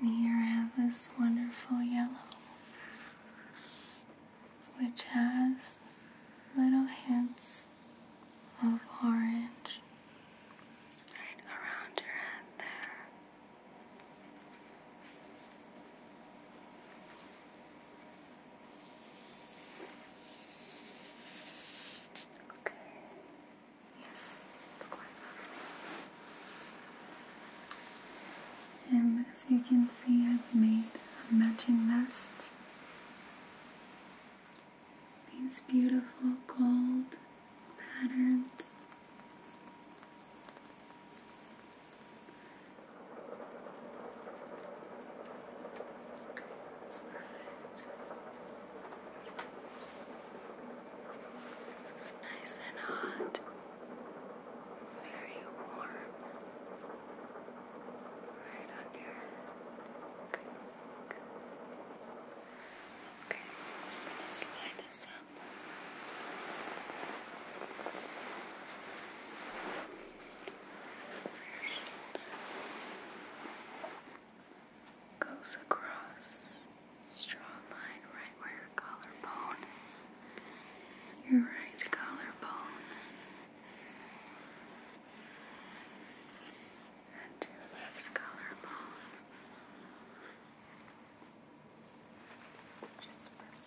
And here I have this wonderful yellow, which has little hints of orange right around your head there. Okay. Yes, it's quite lovely. And as you can see, I've made a matching vest. These beautiful gold patterns. It's perfect. This is nice and hot, very warm, right on your head. Okay, just gonna slide this up. Goes across Straw line right where your collarbone, your right collarbone, and your left collarbone. Just press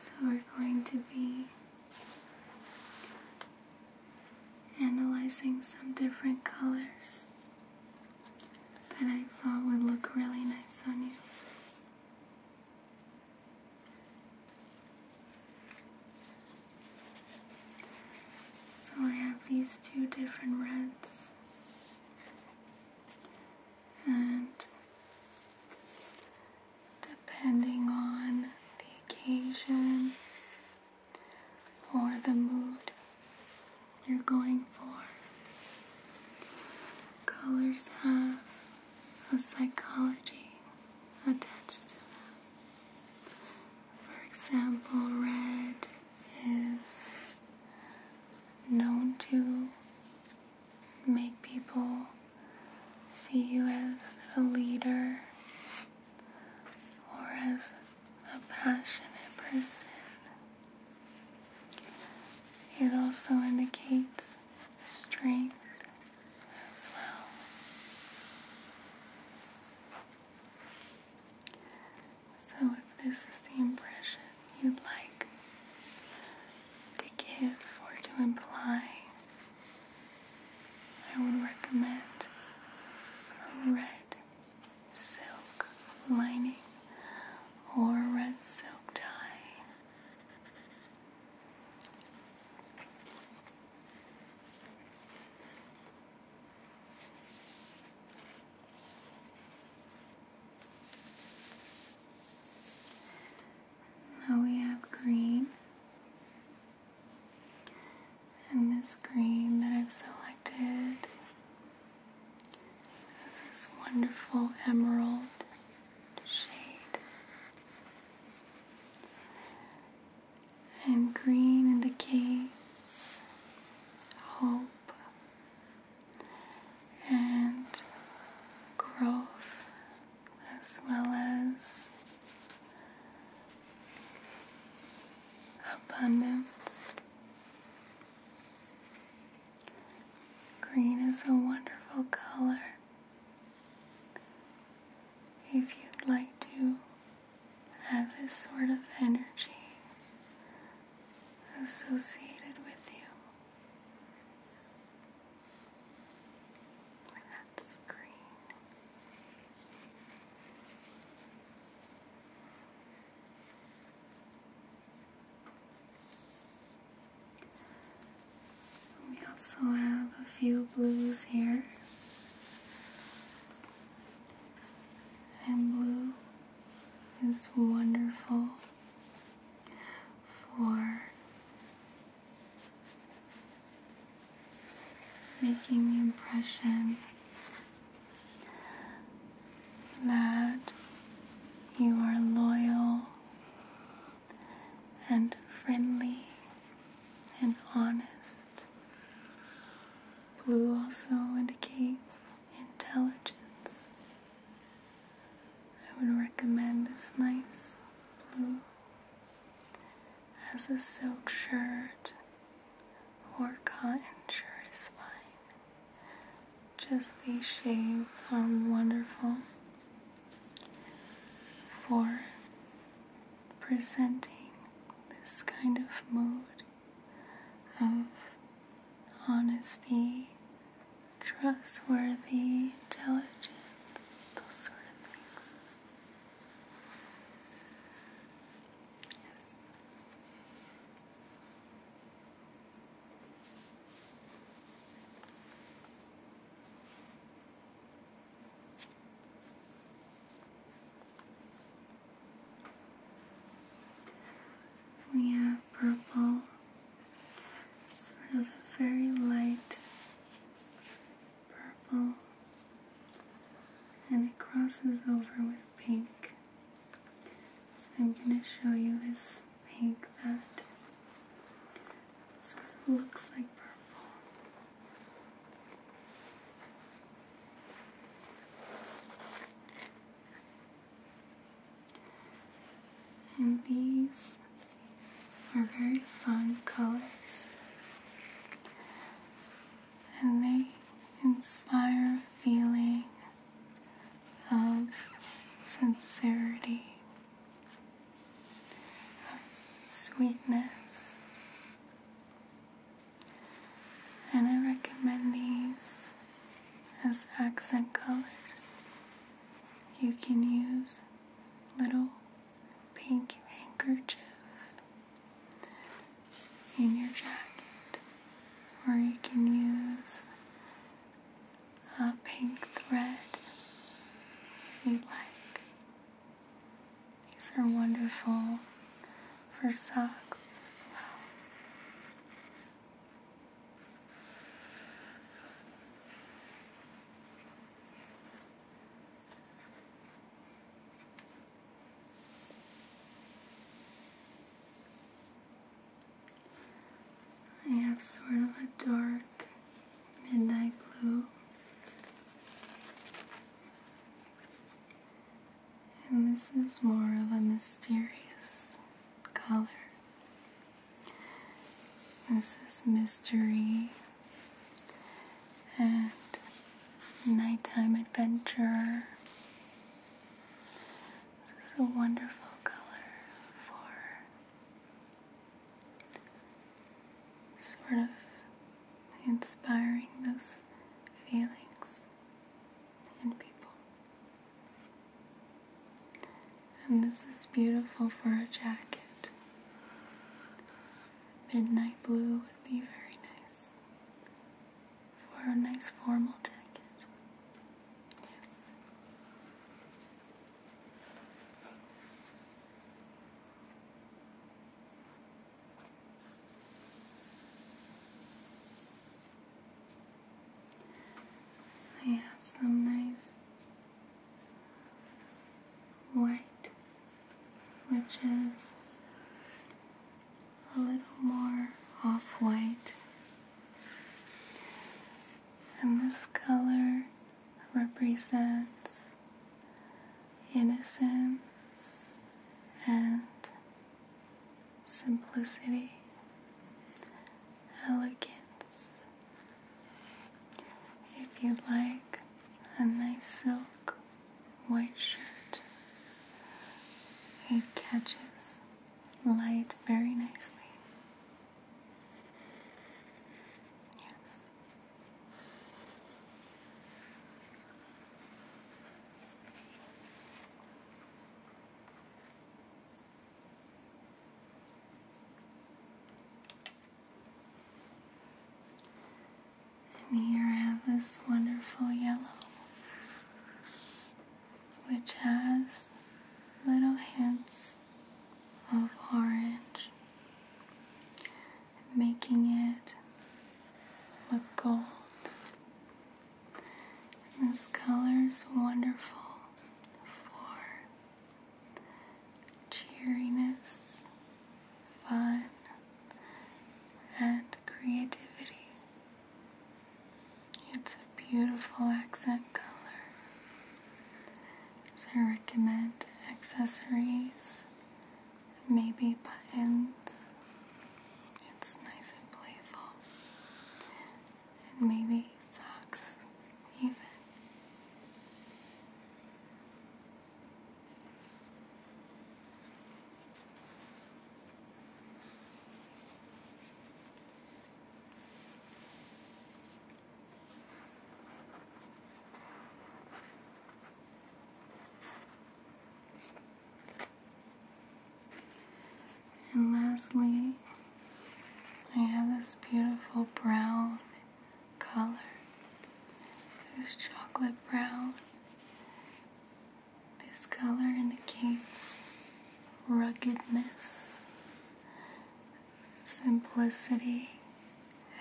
So we're going to be analyzing some different colors that I thought would look really nice on you. So I have these two different reds, and depending on the occasion or the mood you're going for, colors have of psychology attached to them. For example, red is known to make people see you as a leader or as a passionate person. It also indicates strength as well. So, if this is the impression you'd like to give or to imply, I would recommend red silk lining or red silk tie. Now we have green, and this green that I've selected is this wonderful emerald shade and green indicates hope and growth as well as abundance. Green is a wonderful color. If you'd like to have this sort of energy associated with you, that's green. We also have a few blues here. And blue is wonderful for making the impression that you are loyal and friendly and honest. Blue also indicates intelligence. I would recommend this nice blue as a silk shirt or cotton shirt is fine. Just these shades are wonderful for presenting this kind of mood of honesty, trustworthy, intelligence, those sort of things. Yes. We have purple, sort of a very light purple, and it crosses over with pink. So I'm going to show you this pink that sort of looks like purple. And these are very fun colors, and they inspire a feeling of sincerity sweetness. And I recommend these as accent colors. You can use little pink handkerchief in your jacket, or you can use a pink thread if you would like. These are wonderful for socks as well. I have sort of a dark midnight blue. And this is more of a mysterious color. This is mystery and nighttime adventure. This is a wonderful color for sort of inspiring those feelings in people. And this is beautiful for a jacket. Midnight blue would be very nice for a nice formal jacket. Yes. I have some nice white, which is a little more off white, and this color represents innocence and simplicity, elegance. If you'd like a nice silk white shirt, it catches light very nicely. Yes. And here I have this wonderful yellow, which has little hints of orange making it look gold. this color is wonderful for cheeriness, fun, and creativity. It's a beautiful accent color. So I recommend accessories maybe buttons. It's nice and playful. And maybe socks, even. And lastly, I have this beautiful brown color. This chocolate brown. This color indicates ruggedness, simplicity,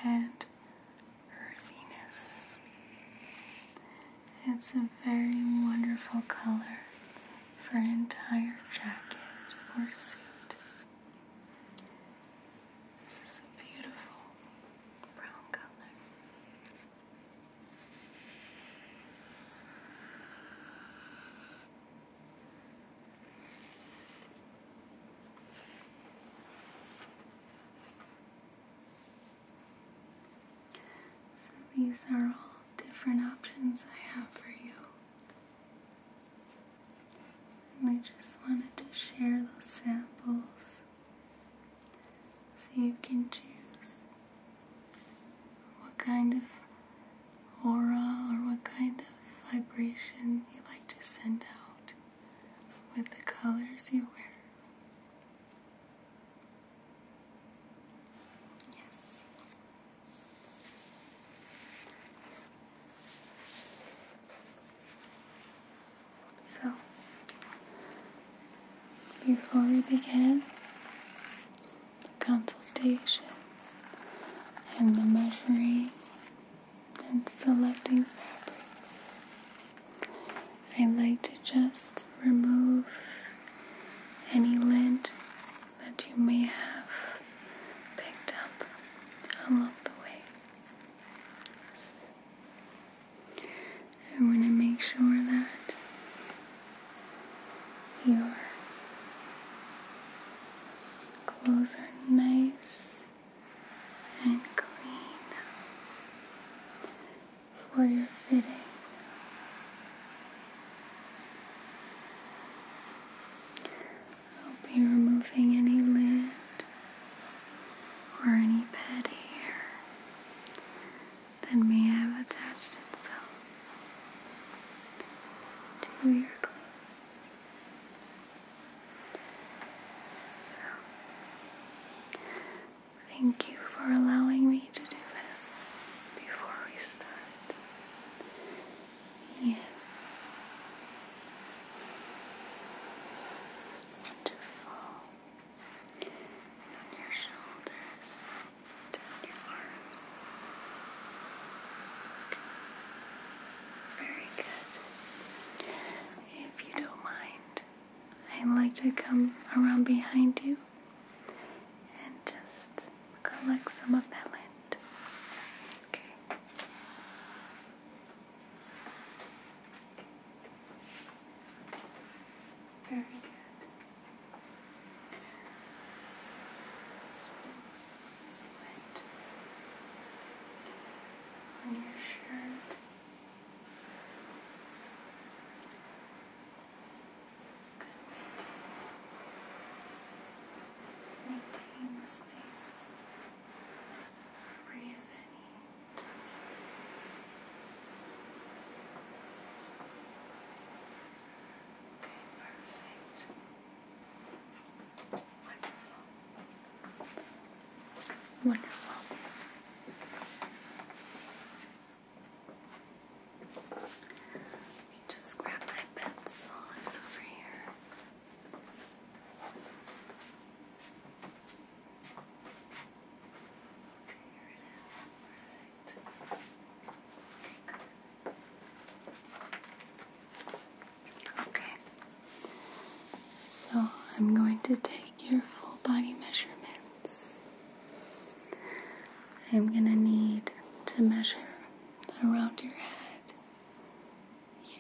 and earthiness. It's a very wonderful color for an entire jacket or suit. This is a beautiful brown color. So these are all different options I have for you. And I just wanted to share those samples so you can choose what kind of aura or what kind of vibration you like to send out with the colors you wear. Yes. So, before we begin the consultation and the measuring and selecting fabrics. I like to just remove any lint that you may have picked up along the way. I want to make sure that your clothes are nice and clean for your fitting. I'll be removing any lid or any pet hair that may have attached itself to your glass thank you for allowing me to do this before we start. Yes. Wonderful. your shoulders, down your arms. Very good. If you don't mind, I'd like to come around behind you and just collect some of that lint. Okay. Very good. Smooth sweat on your shirt. Good way maintain the space free of any dust. Okay, perfect. Wonderful. Wonderful. Let me just grab my pencil. It's over here. Okay. So I'm going to take your full body measurements. I'm going to need to measure around your head,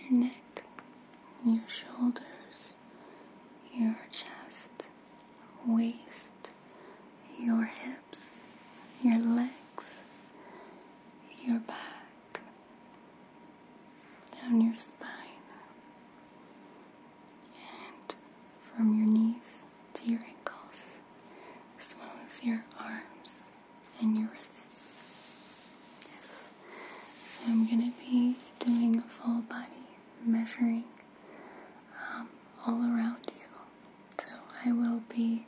your neck, your shoulders, your chest, waist, your hips, your legs, your back, down your spine and from your knees to your ankles, as well as your arms and your wrists. Yes. So I'm going to be doing a full body measuring um, all around you. So I will be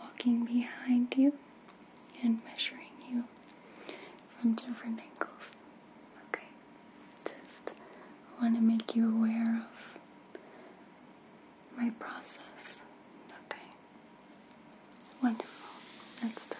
walking behind you and measuring you from different angles. Okay? Just want to make you aware of my process. Okay? Wonderful. Let's start.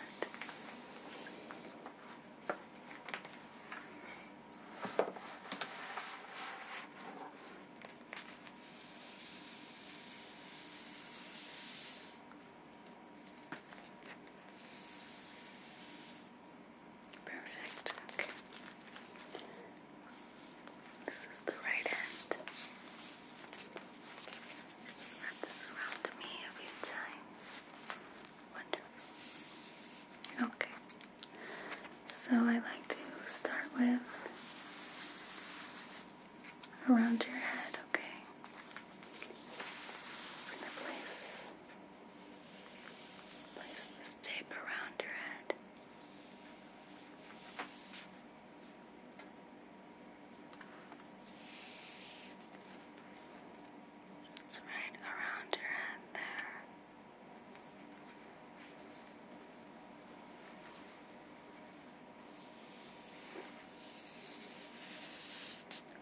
Perfect. Okay. This is the right hand. wrap this around me a few times. Wonderful. Okay. So I like to start with around your head, okay? I'm gonna place, place this tape around her head. Just right around her head there.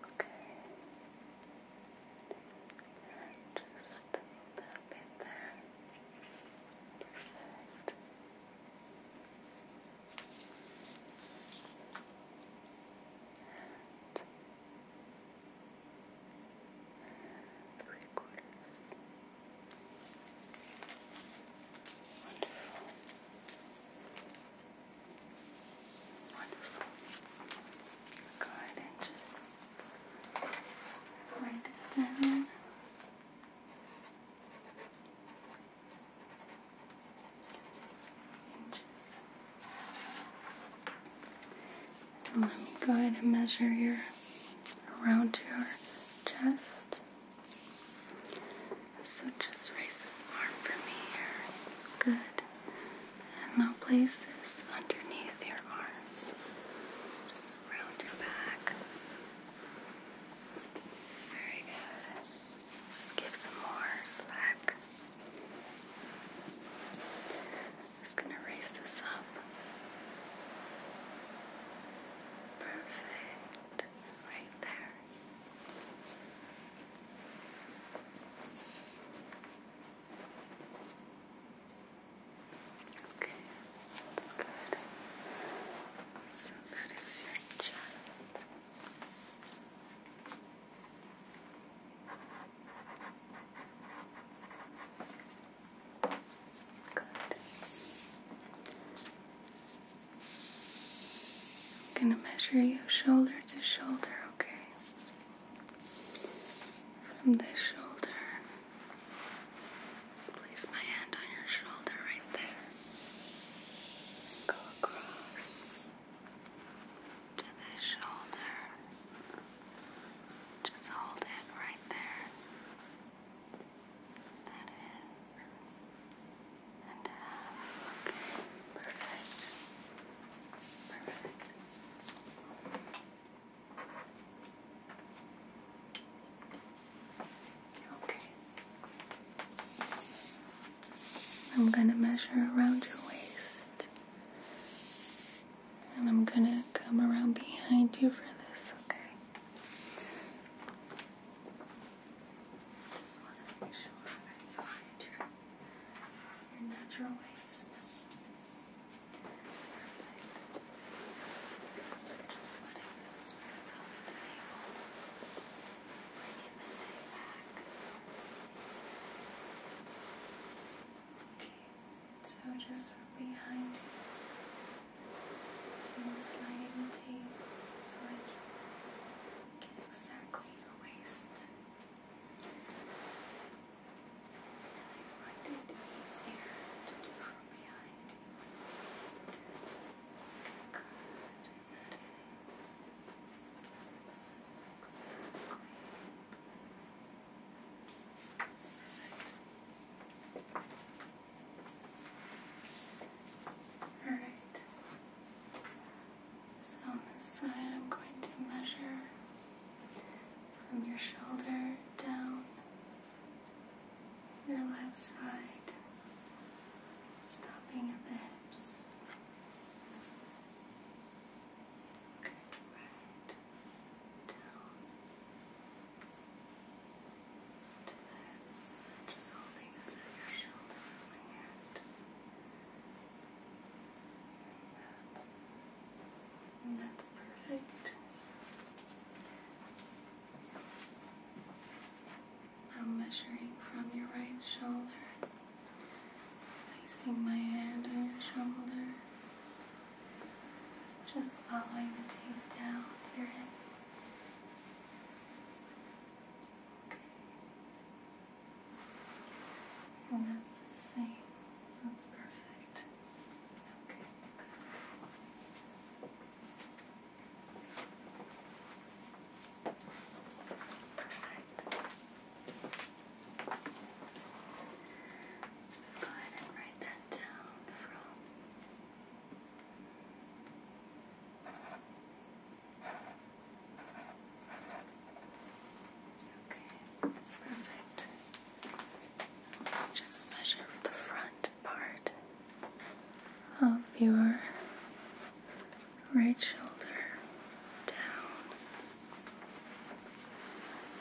Okay. And just a Perfect. three quarters. Wonderful. Go ahead and just write this down. Inches. let me go ahead and measure your around your chest. So just raise this arm for me here. Good. And now place this underneath your arms, just around your back. Very good. Just give some more slack. Just going to raise this up. Perfect. Right there. Okay, good. So that is your chest. Good. I'm going to measure you shoulder to shoulder, okay? From this shoulder, just place my hand on your shoulder right there. Go across to this shoulder. Just hold it right there. That is. And perfect. Okay. I'm going to measure around your waist. And I'm going to come around behind you for this, okay? Just want to make sure I find your your natural waist. Just running this around the navel, bringing the tail back Okay, so just from behind you, and sliding the tape so I can get exactly your waist. I find it easier to do from behind you. Good, that is exactly Alright. So on this side, I'm going to measure from your shoulder down your left side, stopping at the hips. right down to the hips. just holding at your shoulder with my hand. That's, and that's perfect. Now measuring from your right shoulder, placing my hand on your shoulder, just following the tape down to your hips. Okay. And oh, that's the same. That's perfect. Okay, Perfect. Just go ahead and write that down from Okay, that's perfect. Just measure the front part of your right shoulder down,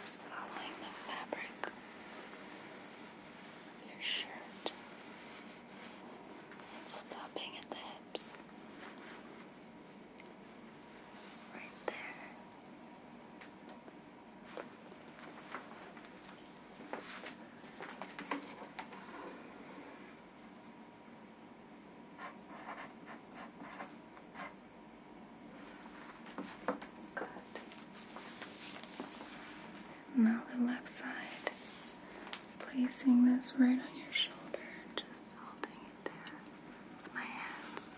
following the fabric of your shirt stopping at the hips. Right there. Good. Now the left side, placing this right on your shoulder, just holding right there. My hands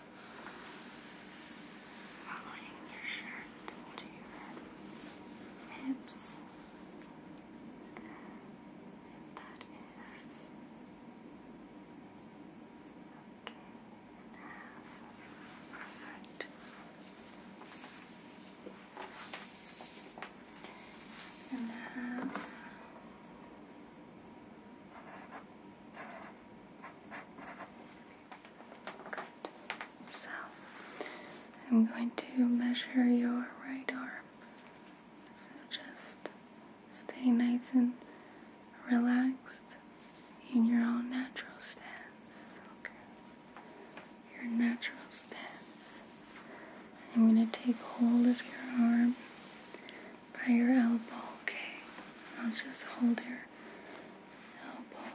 swallowing your shirt to your hips. And that is okay. And have Good. So, I'm going to measure your right arm. So, just stay nice and relaxed in your own natural stance. Okay. Your natural stance. I'm going to take hold of your arm by your elbow, okay? I'll just hold your elbow.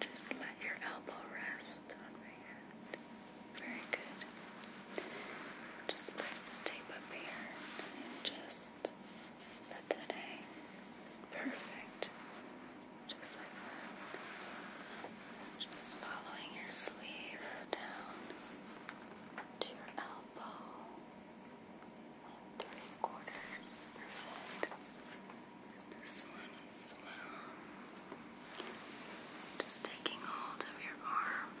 Just let your elbow rest on my hand. Very good. Just place the tape up here and just let that hang. Perfect. Just like that. Just following your sleeve down to your elbow. three quarters. Perfect. And this one as well. Just taking hold of your arm.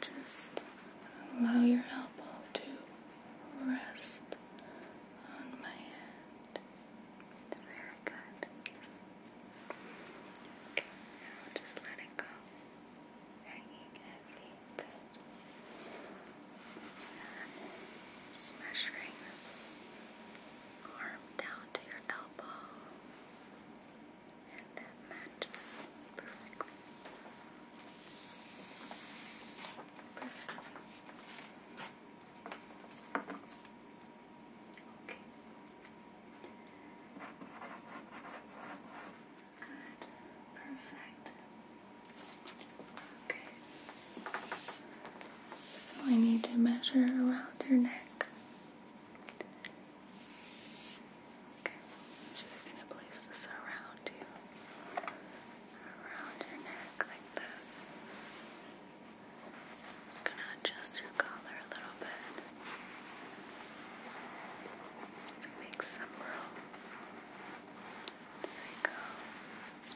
Just allow your elbow to rest on my hand. Very good. now just let it go hanging heavily, good. And just measuring this arm down to your elbow, and that matches perfectly. Perfect. Okay. Good. Perfect. Okay. So I need to measure around your neck. Okay. just gonna place this around you. Around your neck like this. just gonna adjust your collar a little bit. Let's make some room. There we go. It's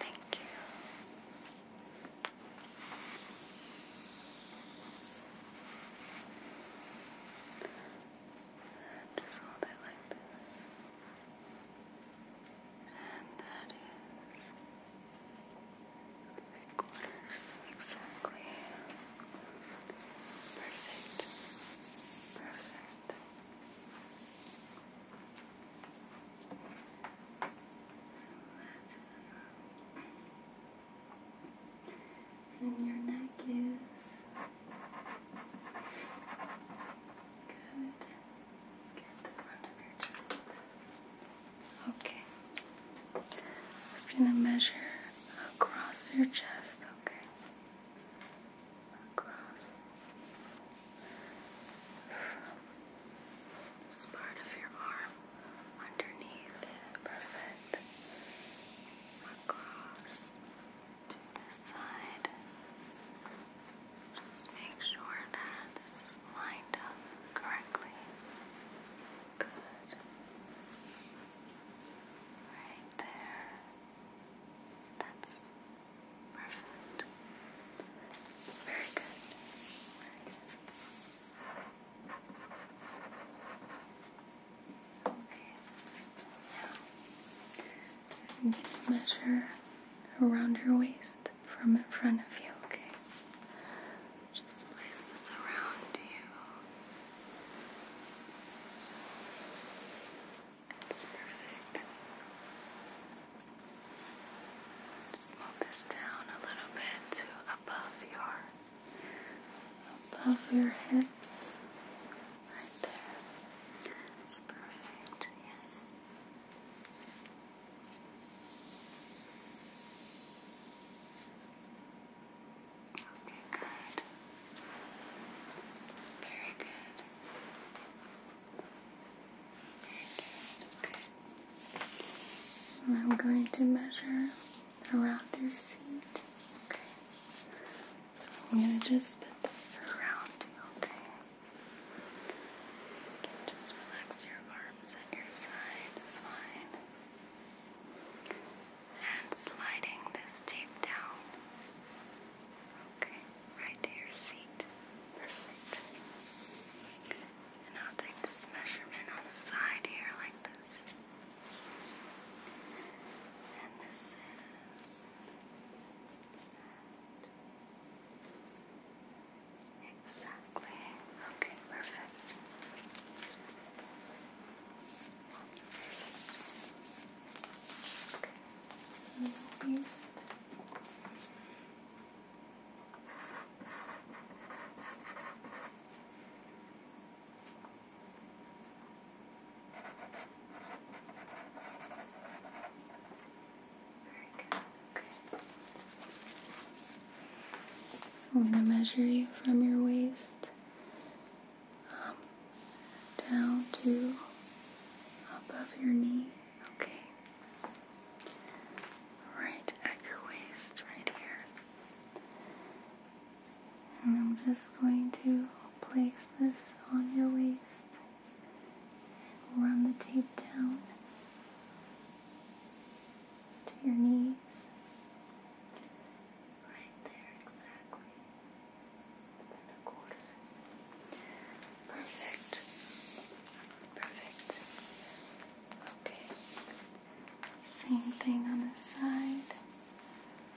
Thank you. just hold it like this. And that is. Three exactly. Perfect. Perfect. So that's enough. And your neck is good. Let's get the front of your chest. Okay. I'm just gonna measure across your chest, okay? Across this part of your arm underneath Perfect. Across to this side. Just make sure that this is lined up correctly. Right there. That's perfect. Very good. Okay. Now, measure around your waist from in front of you, okay? Just place this around you. It's perfect. Just move this down a little bit to above your above your hips. Right there. It's perfect, yes. Okay, good. Very good. I'm going to measure around your seat. Okay. So I'm going to just put this around you, okay? Just relax your arms at your side, it's fine and sliding this tape down. Okay, right to your seat. Perfect. And I'll take this measurement on the side here like this. And this is. Exactly. Okay, perfect. Okay. Very good. Okay. I'm going to measure you from your waist um, down to above your knee. Okay. Right at your waist, right here. And I'm just going to place this on your waist and run the tape down to your knees. Right there, exactly. a quarter. Perfect. Perfect. Okay. Same thing on the side.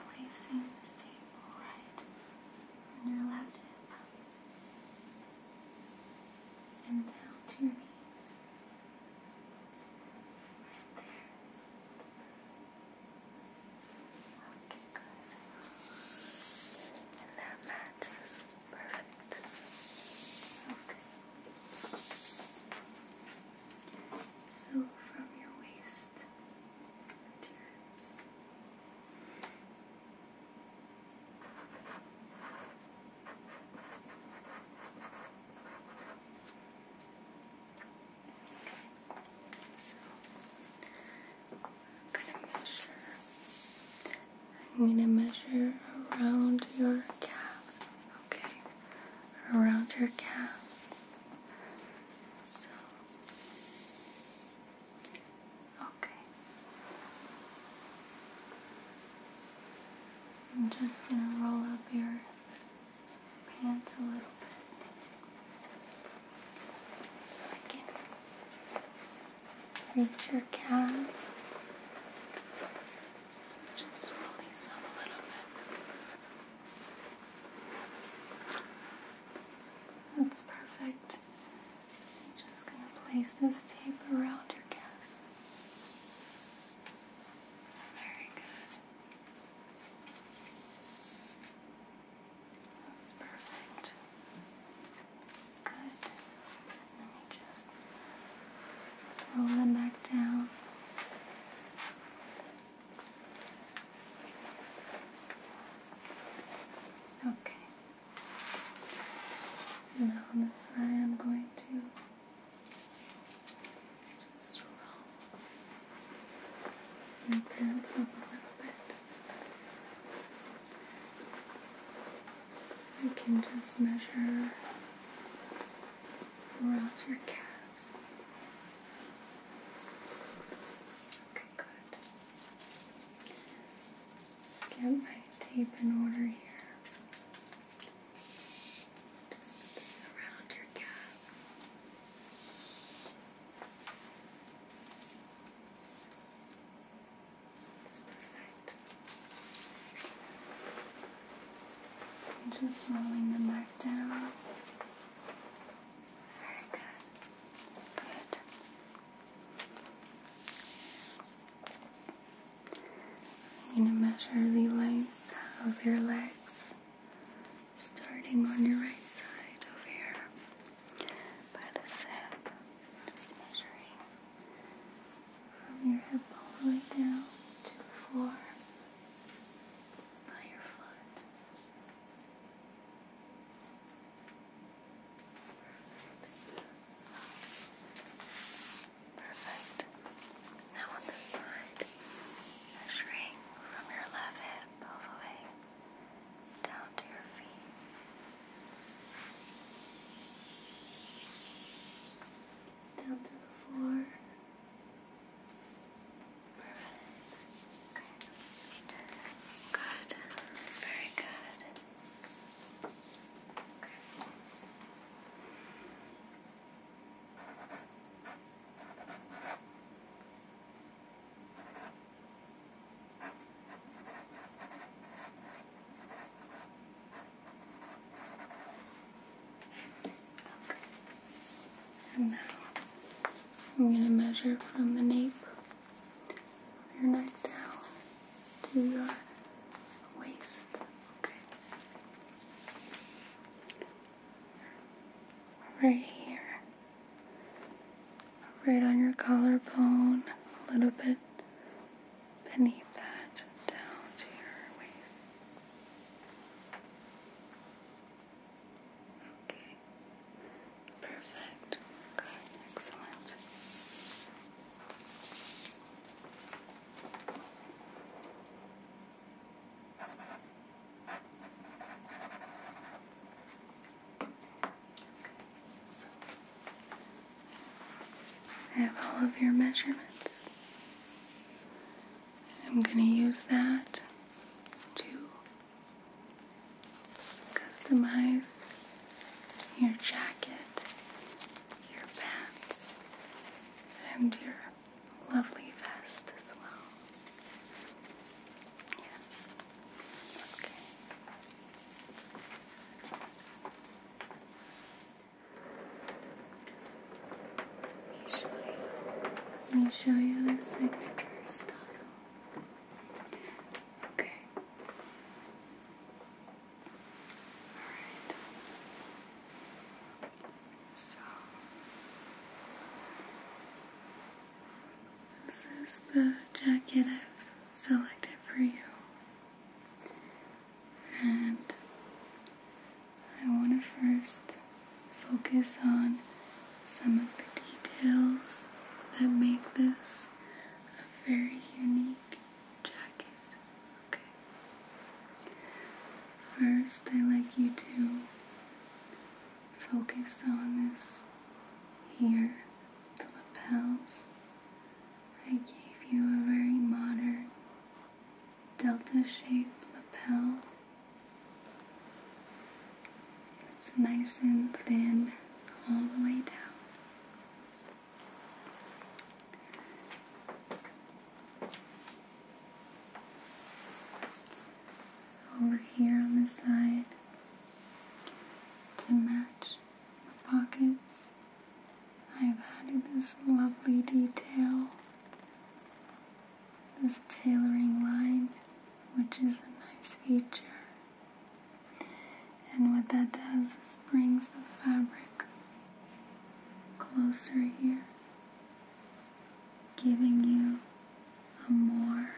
Placing this table right on your left hip. And down to your knees. And that matches perfect. Okay. So from your waist to your hips. I'm gonna measure. I'm gonna measure around your calves. Okay, around your calves. So okay. I'm just gonna roll up your pants a little bit so I can reach your calves. So just release them a little bit. That's perfect. I'm just going to place this tape around your calves. Very good. That's perfect. Good. Let me just roll them back down. Okay. Now I'm going to Swirl your pants up a little bit. So I can just measure around your calves. Okay, good. get my tape in order here. Just around your calves. It's perfect. just rolling the mark down. Very good. Good. I'm going to measure the length of your legs, starting on your right side over here by the hip. Just measuring from your hip all the way down to the floor by your foot. Perfect. Now on this side, measuring from your left hip all the way down to your feet. Down to the floor. Perfect. Good. Very good now I'm going to measure from the nape of your neck down to your waist right here, right on your collarbone, a little bit beneath that, down to your waist. Okay, perfect. Good, excellent. I have all of your measurements. I'm going to use that to customize your jacket, your pants, and your lovely vest as well. Yes. Okay. Let me show you. Let me show you the signature style. Okay. Alright. So, this is the jacket I've selected for you. And I want to first focus on some of the details that make this a very unique jacket. Okay. First, I like you to focus on this here, the lapels. I gave you a very modern delta shaped lapel. It's nice and thin all the way down over here on the side to match the pockets. I've added this lovely detail, this tailoring line, which is a nice feature. And what that does is brings the fabric closer here giving you a more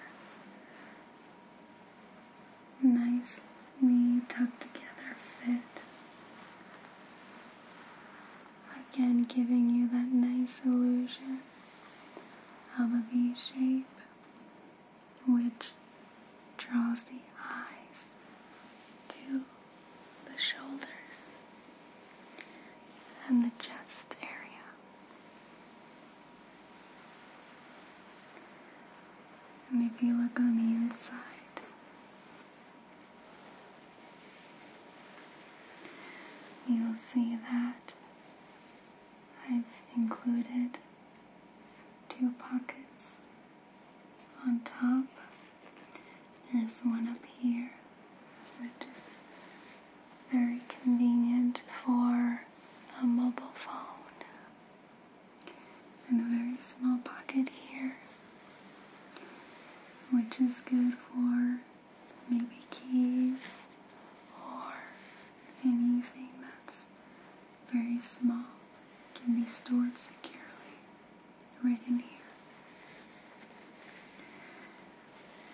nicely tucked together fit. Again, giving you that nice illusion of a V shape, which draws the eyes to the shoulders, and the chest area. And if you look on the inside, you'll see that I've included two pockets on top there's one up here, which is very convenient for a mobile phone. And a very small pocket here, which is good for maybe keys or anything that's very small, can be stored securely right in here.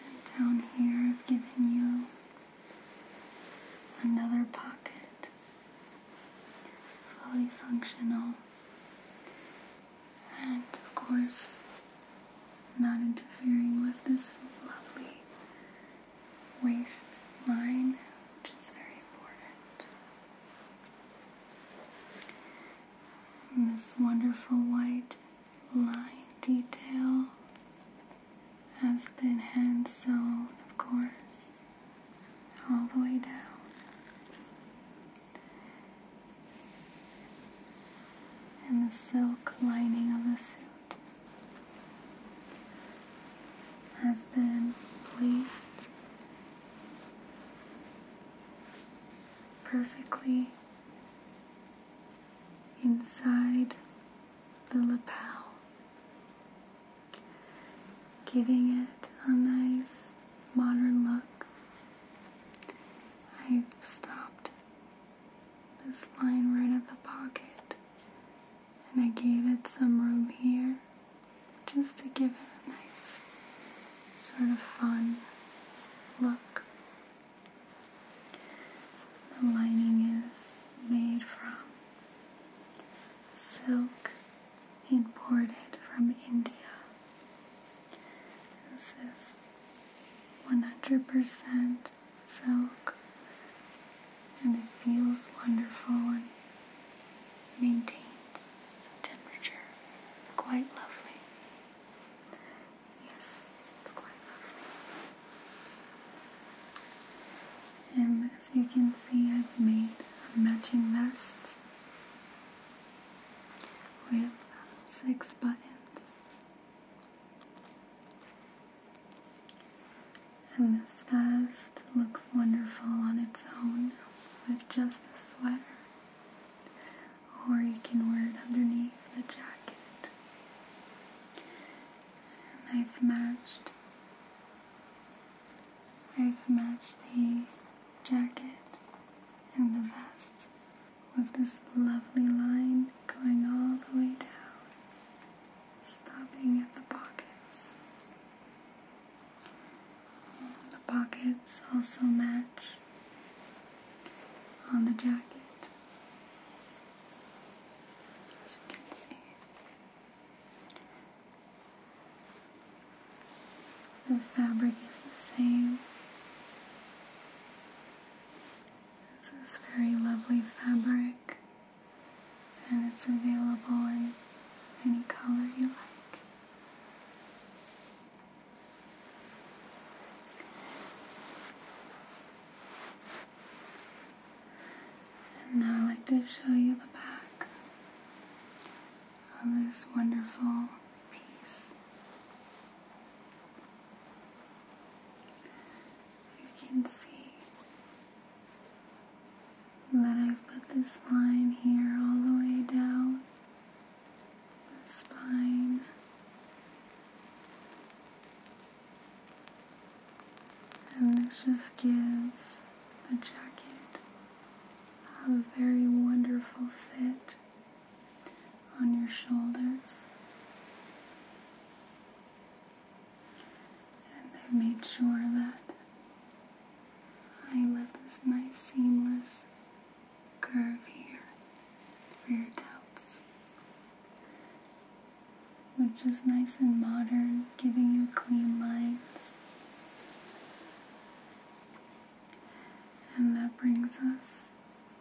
And down here, I've given you another pocket, fully functional, and of course, not interfering with this lovely waistline, which is very important and this wonderful white line detail has been hand sewn, of course, all the way down. And the silk lining of the suit has been placed perfectly inside the lapel, giving it a nice modern look. i stopped this line right at the pocket and I gave it some room here just to give it a nice sort of fun look. The lining is made from silk imported from India. This is 100% silk and it feels wonderful and maintains the temperature quite lovely. Yes, it's quite lovely. And as you can see, I've made a matching vest with six buttons. And this vest looks wonderful on its own with just a sweater or you can wear it underneath the jacket. And I've matched I've matched the jacket and the vest with this lovely line going all the way down, stopping at the pockets. the pockets also match on the jacket. As you can see, the fabric is the same. This is very lovely fabric, and it's available in any color you like now I'd like to show you the back of this wonderful piece. You can see that I've put this line here all the way down the spine. And this just gives the jacket a very wonderful fit on your shoulders. And I've made sure that I left this nice seamless curve here for your tops, which is nice and modern, giving you clean lines. And that brings us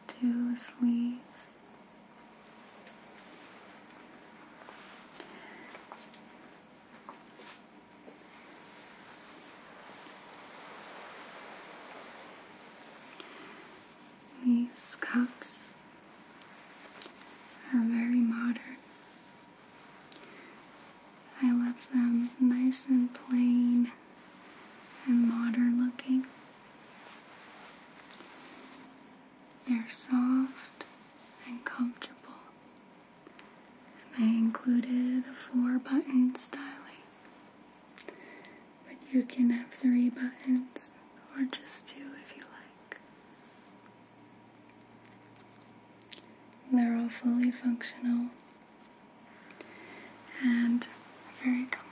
to the sleeves. These cups are very modern. I left them nice and plain and modern looking. They're soft and comfortable. And I included a four button styling but you can have three buttons, or just two if you like. They're all fully functional and very comfortable.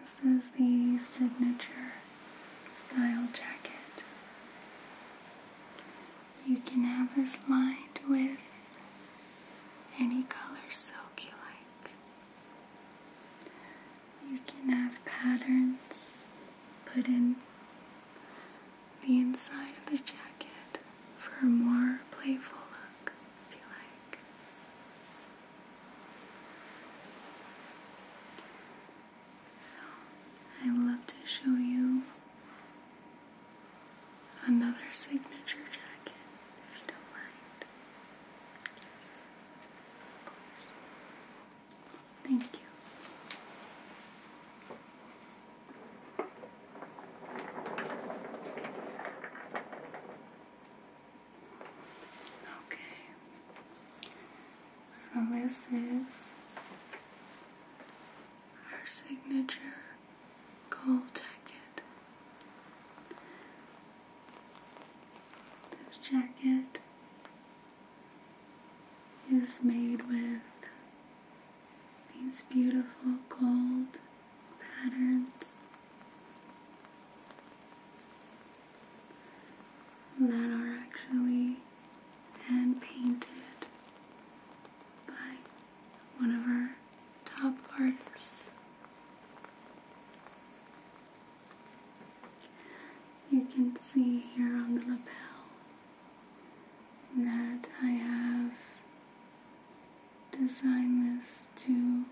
This is the signature style jacket. You can have this lined with any color silk you like. You can have patterns put in the inside of the jacket for a more playful look if you like. So, I love to show you another signature jacket if you don't mind. Yes. Thank you. Okay. So this is our signature gold jacket. This jacket is made with these beautiful gold patterns that are actually and painted by one of our top artists. You can see here on the label that I have designed this to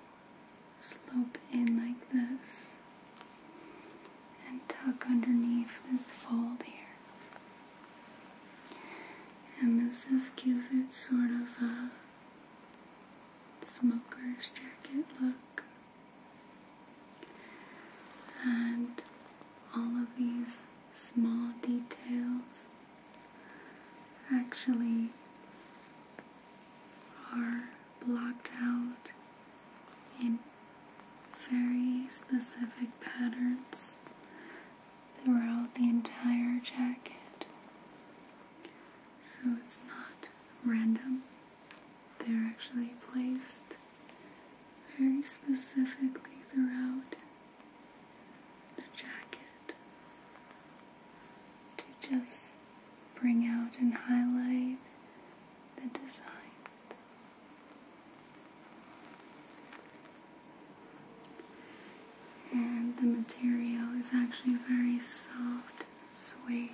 slope in like this and tuck underneath this fold here. And this just gives it sort of a smoker's jacket look. And all of these small details actually are blocked out in very specific patterns throughout the entire jacket. So it's not random, they're actually placed very specifically throughout the jacket to just bring out and highlight the designs. And the material is actually very soft suede.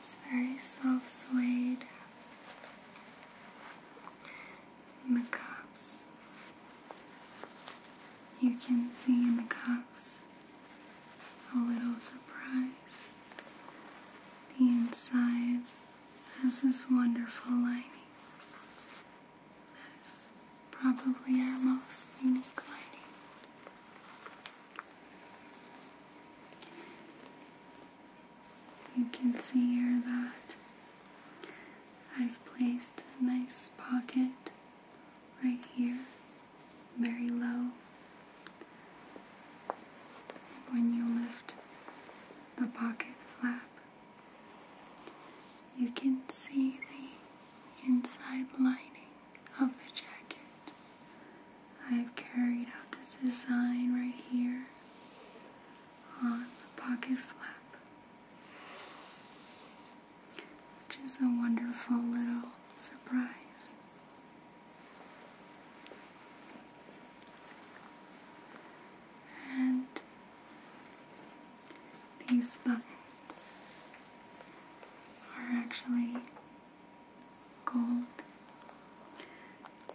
It's very soft suede. In the cups, you can see in the cups a little surprise. The inside has this wonderful lining. That is probably our most unique lining. You can see here that I've placed a nice pocket right here very low. When you lift the pocket flap, you can see the inside lining of the jacket. I've carried out this design right here on the pocket flap, which is a wonderful little surprise and these buttons are actually gold.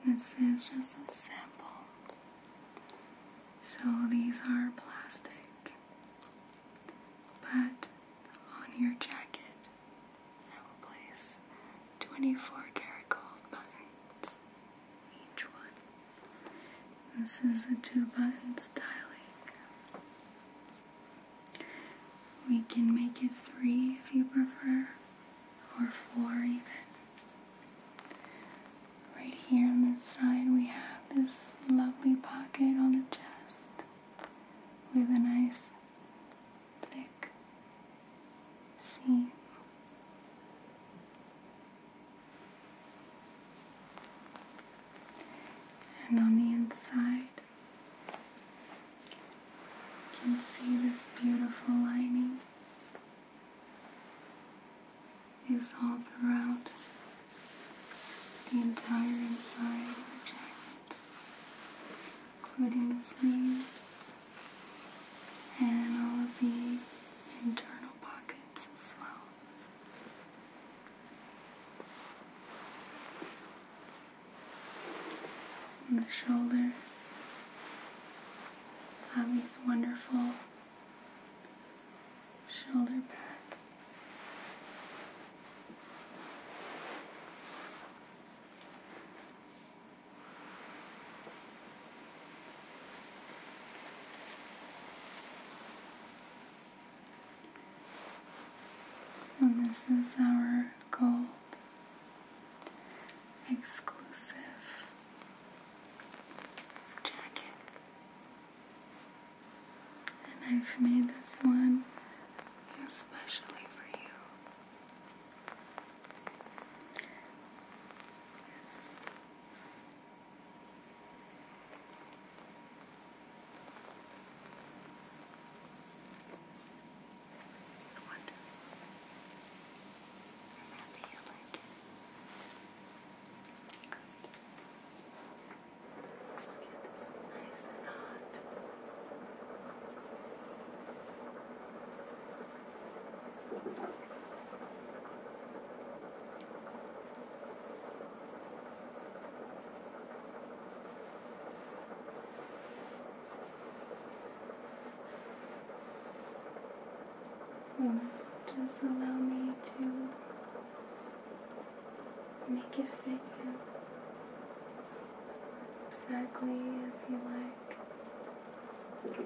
This is just a sample. So these are plastic, but on your jacket I will place 24 carat gold buttons, each one. This is a two button styling. We can make it three if you prefer, or four even. Right here on this side, we have this lovely pocket on the chest with a nice thick seam. And on the inside, you can see this beautiful lining is all throughout the entire inside of the jacket including the sleeves and all of the internal pockets as well. And the shoulders have um, these wonderful shoulder pads. And this is our gold exclusive jacket. And I've made this one especially for you. Wonderful. And how do you like it? Good. Let's get this nice and hot. Well, this just allow me to make it fit you exactly as you like.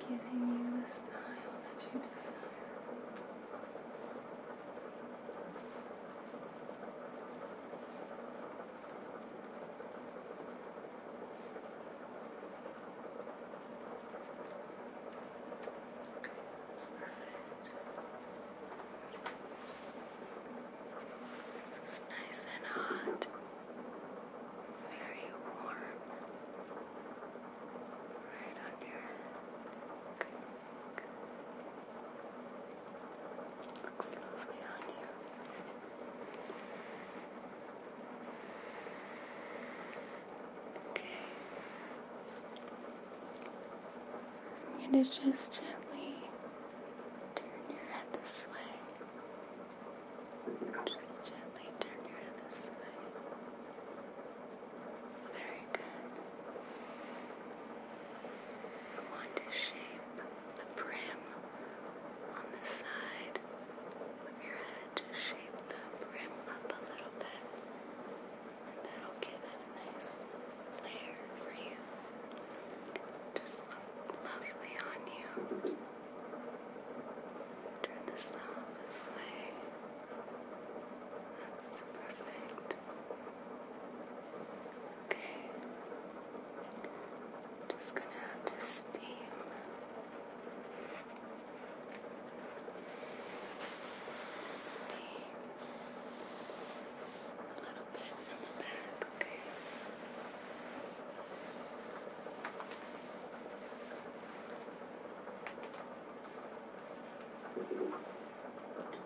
Giving you the style that you desire. Okay, that's perfect. This is nice and hot, very warm, right on your head. Looks lovely on you. Okay. I'm going to just gently turn your head this way. Just gently turn your head this way. Very good. I want to shape the brim on the side of your head. Just shape the brim up a little bit. That'll give it a nice flare for you. Just look lovely on you. Turn this off this way. That's perfect. Okay. Just gonna have to steam. steam. A little bit in the back, okay?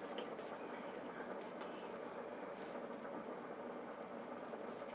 Just get some nice hot uh, steam Right on the back.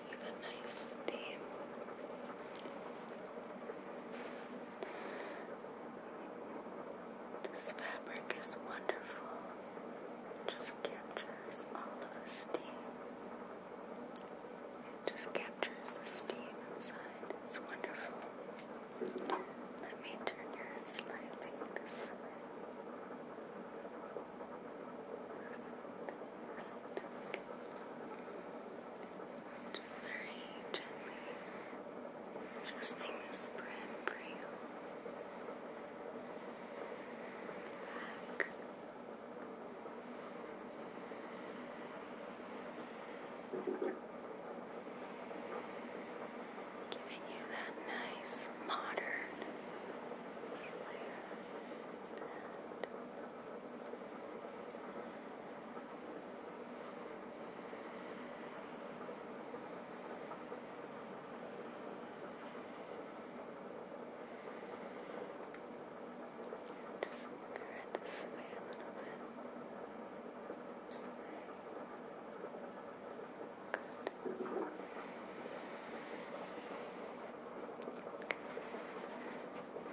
Sleep a nice day. This fabric is wonderful. It just captures all of the steam. just captures the steam inside. It's wonderful. Let me turn your head this way. Just very gently adjusting this brim for you. Giving you that nice modern flair that. Just mirror this way a little bit. This way. Good. Just a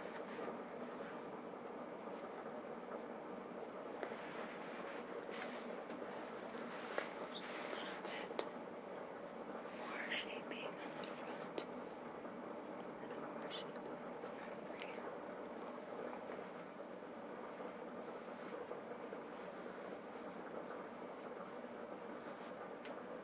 little bit more shaping on the front and more shaping on the front for you. Just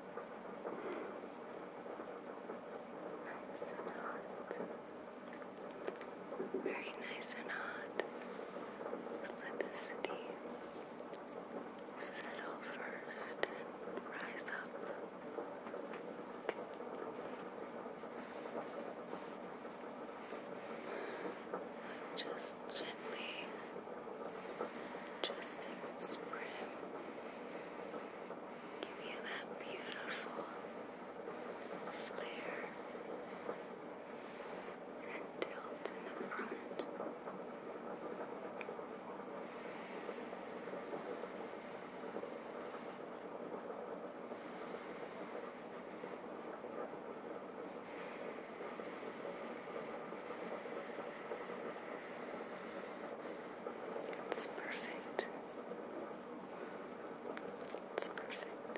Nice and hot. Very nice and hot. Let the city settle first rise up. Just gently adjusting the spring, give you that beautiful flare and tilt in the front. It's perfect. It's perfect.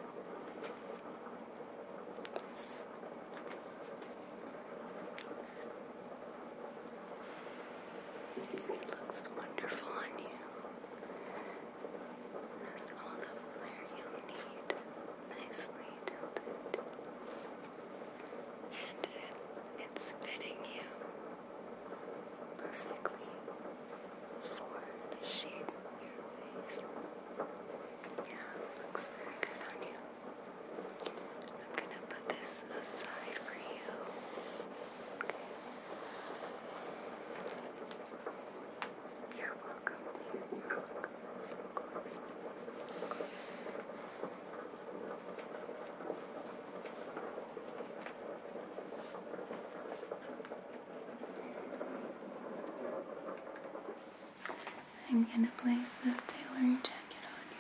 It looks wonderful on you. That's all the flair you'll need. Nicely tilted and it's fitting you perfectly for the shape of your face. Yeah, looks very good on you. I'm gonna put this aside for you. You're welcome. You're welcome. I'm going to place this tailoring jacket on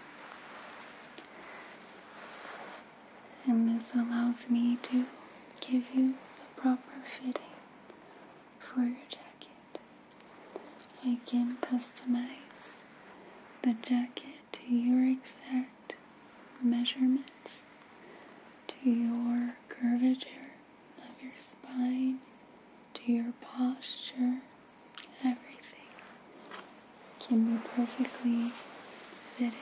you. And this allows me to give you the proper fitting for your jacket. I can customize the jacket to your exact measurements, to your curvature of your spine, to your posture, everything can be perfectly fitted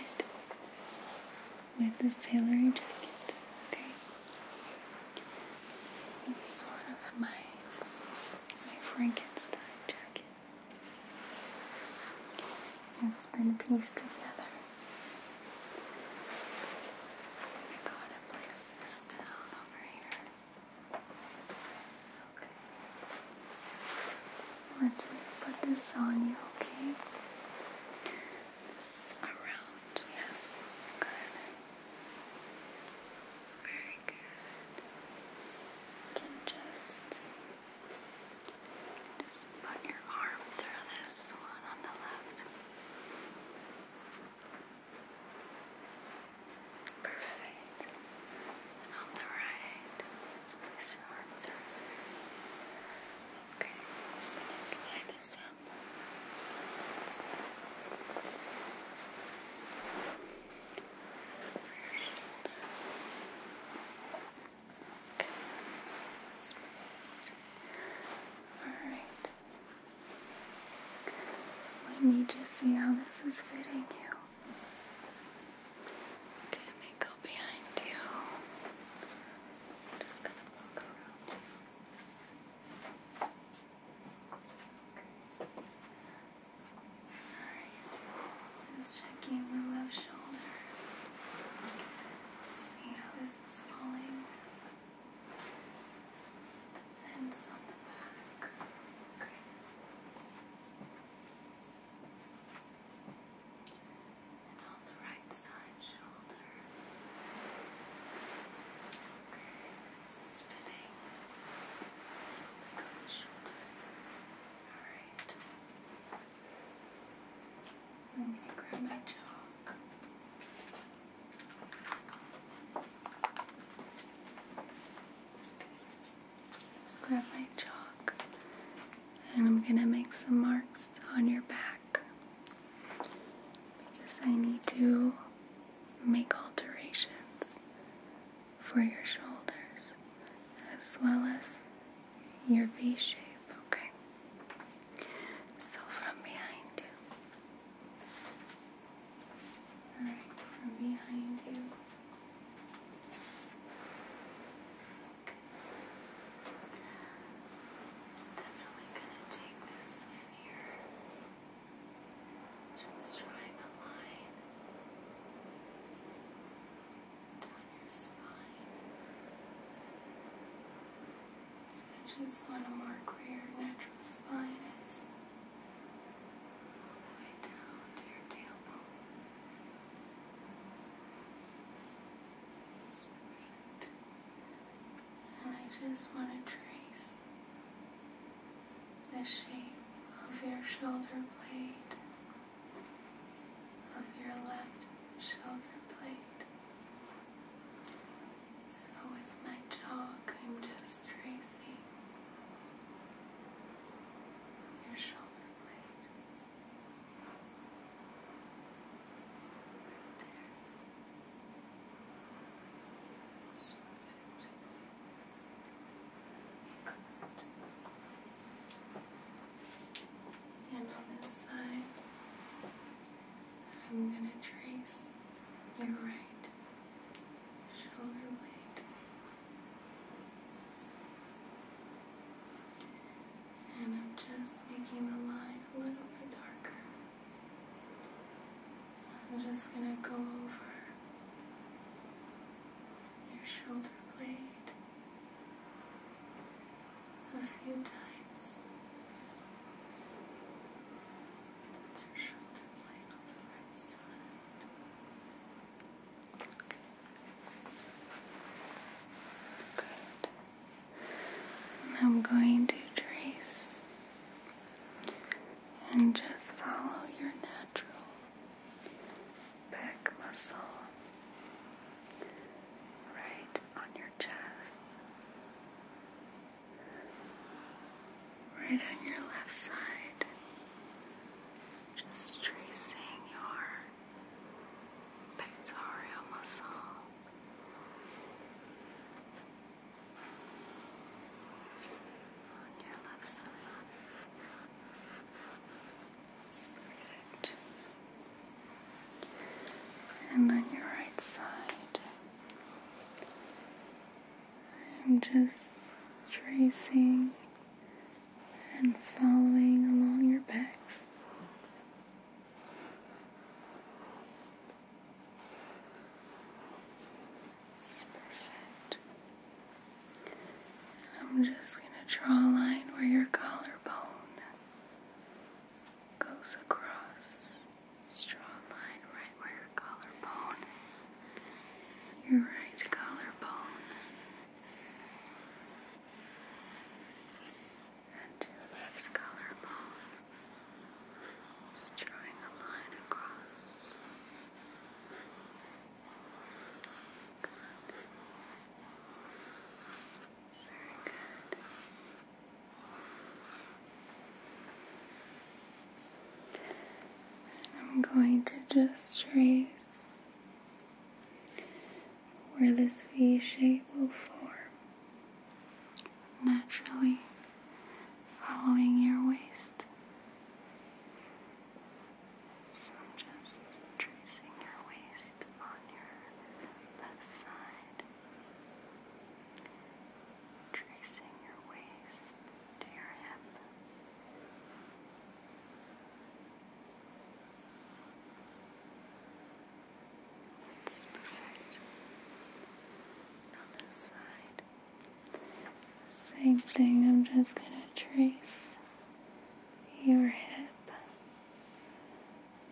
with this tailoring jacket. Okay, it's sort of my my Frankenstein jacket. It's been pieced together. Let me put this on you, okay? This around, yes. Very good. can just just put your arm through this one on the left. Perfect. And on the right, just place your arm through. Okay, just gonna slide this up. Alright. Let me just see how this is fitting you. Okay, let go behind you. I'm just gonna walk around you. Alright, just checking the left shoulder. See how this is falling. The fence on the back. And on the right side shoulder. I'm gonna grab my chalk. grab my chalk and I'm gonna make some marks on your back because I need to make alterations for your shoulders as well as your V shape, okay? So from behind you. Alright, from behind you. Definitely gonna take this in here. Just drawing a line down your spine. So I just want to mark where your natural spine is. All the way down to your tailbone. That's I just want to trace the shape of your shoulder blade, of your left shoulder blade. So with my chalk, I'm just tracing your shoulder blade. Right there. That's perfect. And on this side, I'm going to trace your right shoulder blade. And I'm just making the line a little bit darker. I'm just going to go over your shoulder blade a few times. That's your shoulder blade on the right side. Okay. I'm going to trace and just follow your natural back muscle right on your chest, right on your left side, just tracing your pectoral muscle. On your left side, perfect. And on your right side, I'm just tracing and following along your back. It's perfect. I'm just going to draw a line where your collarbone goes across. Just draw a line right where your collarbone, your right collarbone. And to left collarbone. drawing a line across. I'm going to just trace where this V shape will form naturally following your waist. So I'm just tracing your waist on your left side, tracing your waist to your hip. It's perfect. On this side. Same thing, I'm just going to trace your hip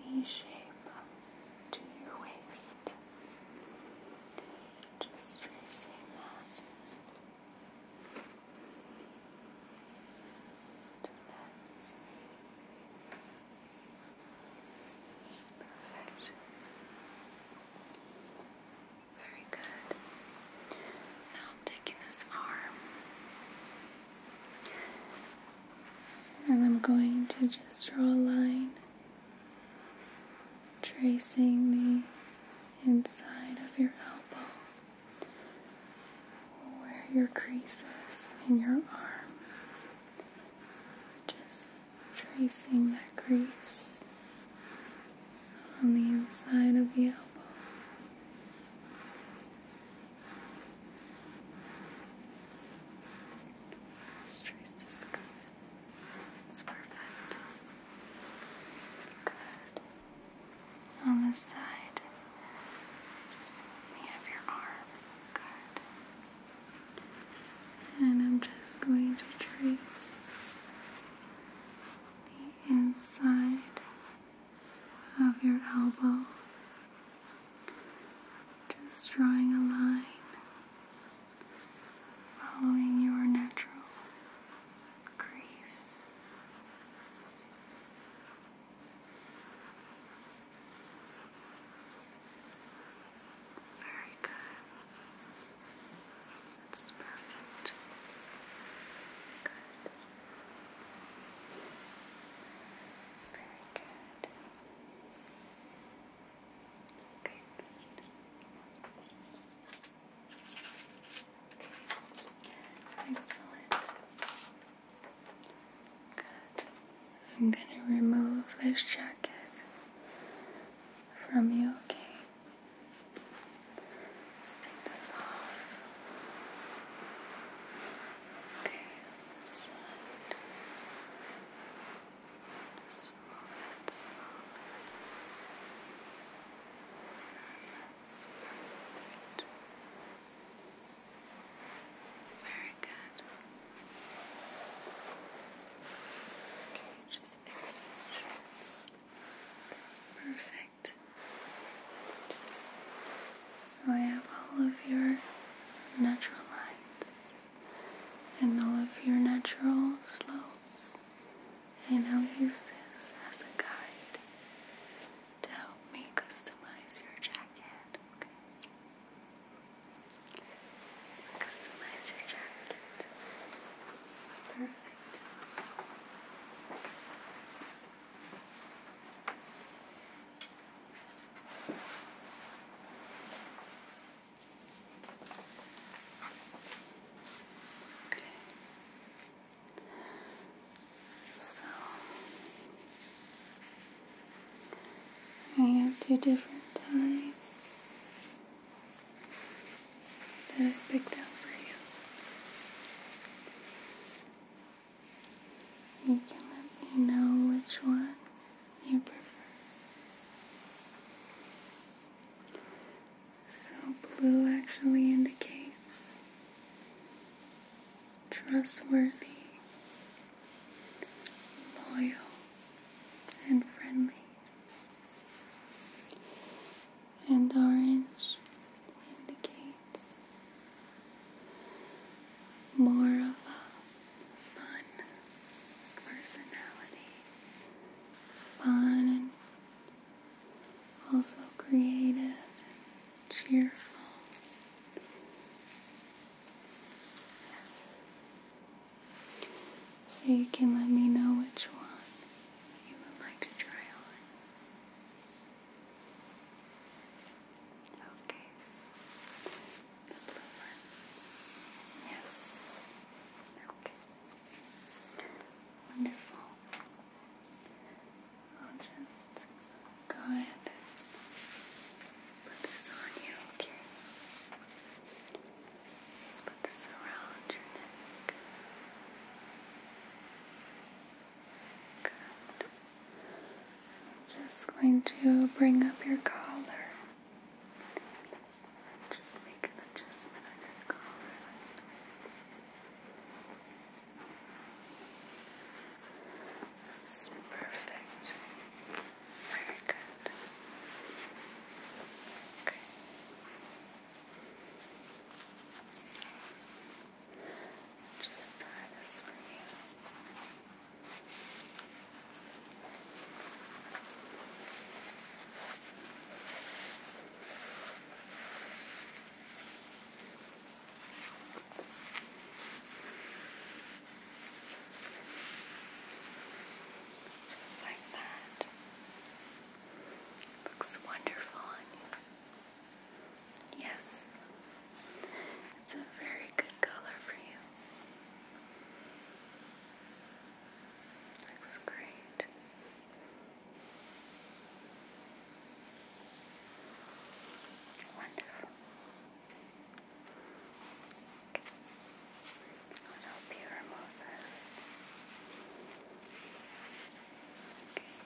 V shape to your waist. Just tracing that to this. It's perfect. Very good. Now I'm taking this arm and I'm going to just draw a line tracing the inside of your elbow where your crease is in your arm. Just tracing that crease on the inside of the elbow. trace the squeeze. It's perfect. Good. On this side, just let me have your arm. Good. And I'm just going to trace the inside of your elbow. Just drawing a line following your natural crease. Very good. That's perfect. very good. Okay, Excellent. Good. I'm going to remove this jacket from you, okay? take this off. Okay, this side. Just That's perfect. Very good. Okay, just fix it. Perfect. So I have all of your natural lines and all of your natural slopes, and I'll use this as a guide to help me customize your jacket. Okay. Customize your jacket. So I have two different ties that i picked out for you. You can let me know which one you prefer. So, blue actually indicates trustworthy, loyal, and friendly and orange indicates more of a fun personality. Fun also creative cheerful. Yes. So you can let me know which one you would like to try on. Okay. The blue one. Yes. Okay. Wonderful. I'll just go ahead and put this on you, okay? Let's put this around your neck. Good. Just going to bring up your collar. Just make an adjustment on your collar. That's perfect. Very good. Okay. Just tie this for like that. Looks wonderful on you. Yes, it's a very good color for you. Looks great. Wonderful. I'll help you remove this. Okay.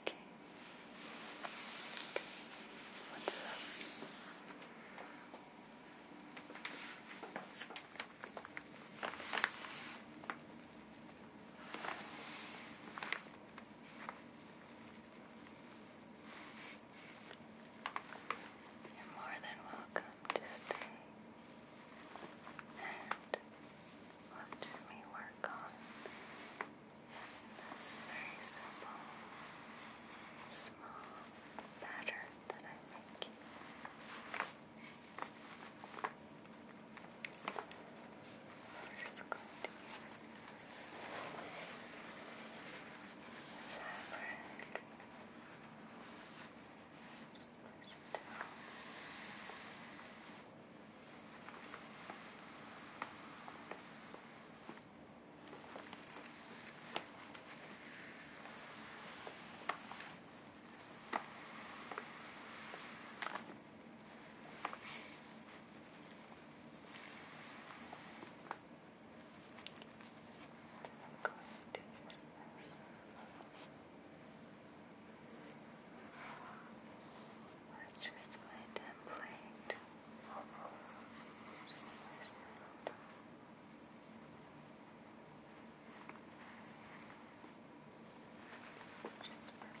Okay. You're more than welcome to stay and watch me work on that's very simple, small pattern that I'm making. i just going to use Just place it I'm going to use this. We're just going just place Just press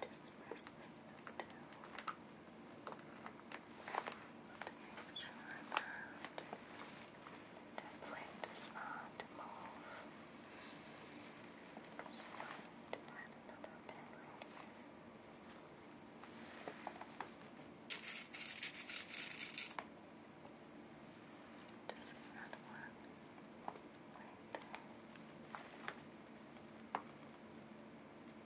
Just press this until to make sure that the plate does not move. Just add another pin Just add one right there.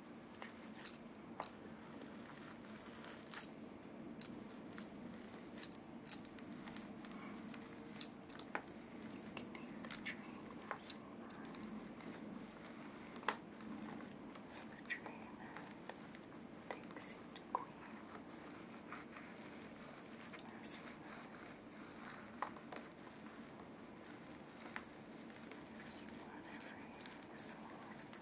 It's the train that takes you to Queens. I see that. It's not every soul that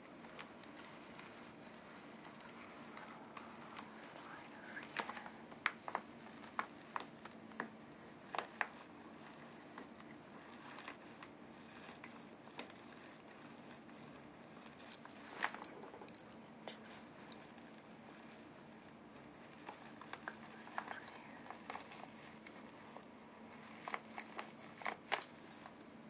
Slide over here. And just over here.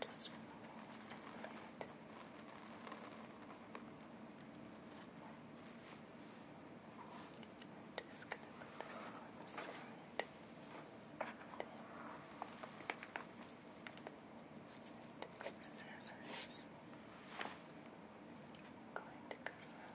Just remove the lid. I'm just going to put this on the side. There. Take the scissors. going to go around.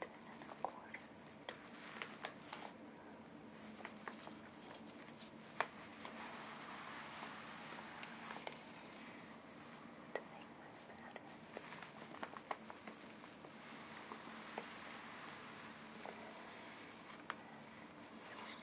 ten and a quarter. To make my patterns. This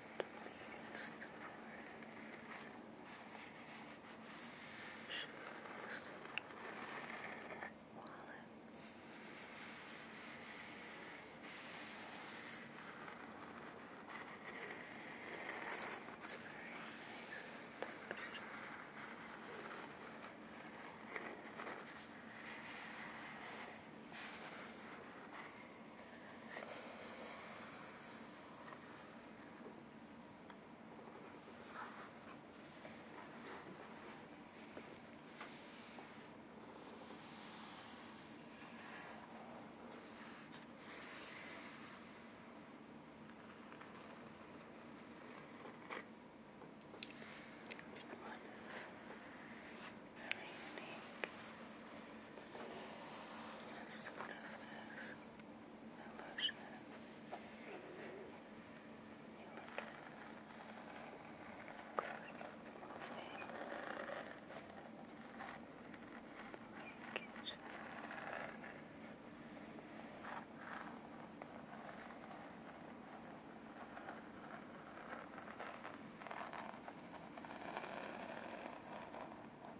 Release the forehead. Shoulders. Wallet. This one's very nice and beautiful. This this one is really unique. This stuff is illusion. You look at it. Looks like it's moving. Like it just Moving.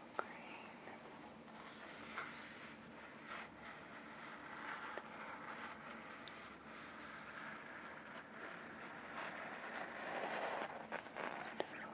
green. Wonderful green leather. So much luxury. Beautiful.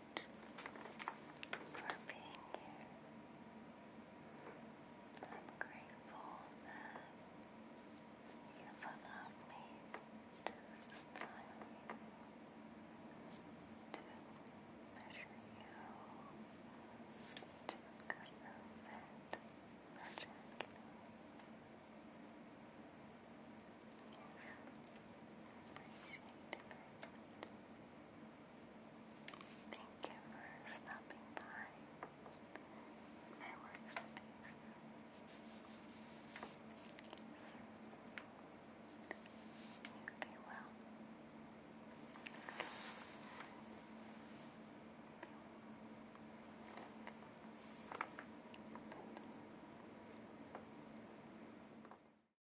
for being here. I'm grateful that you allowed me to smile you, to measure you, to custom fit measure you. Yes, I appreciate Thank you for stopping by my workspace. You be well.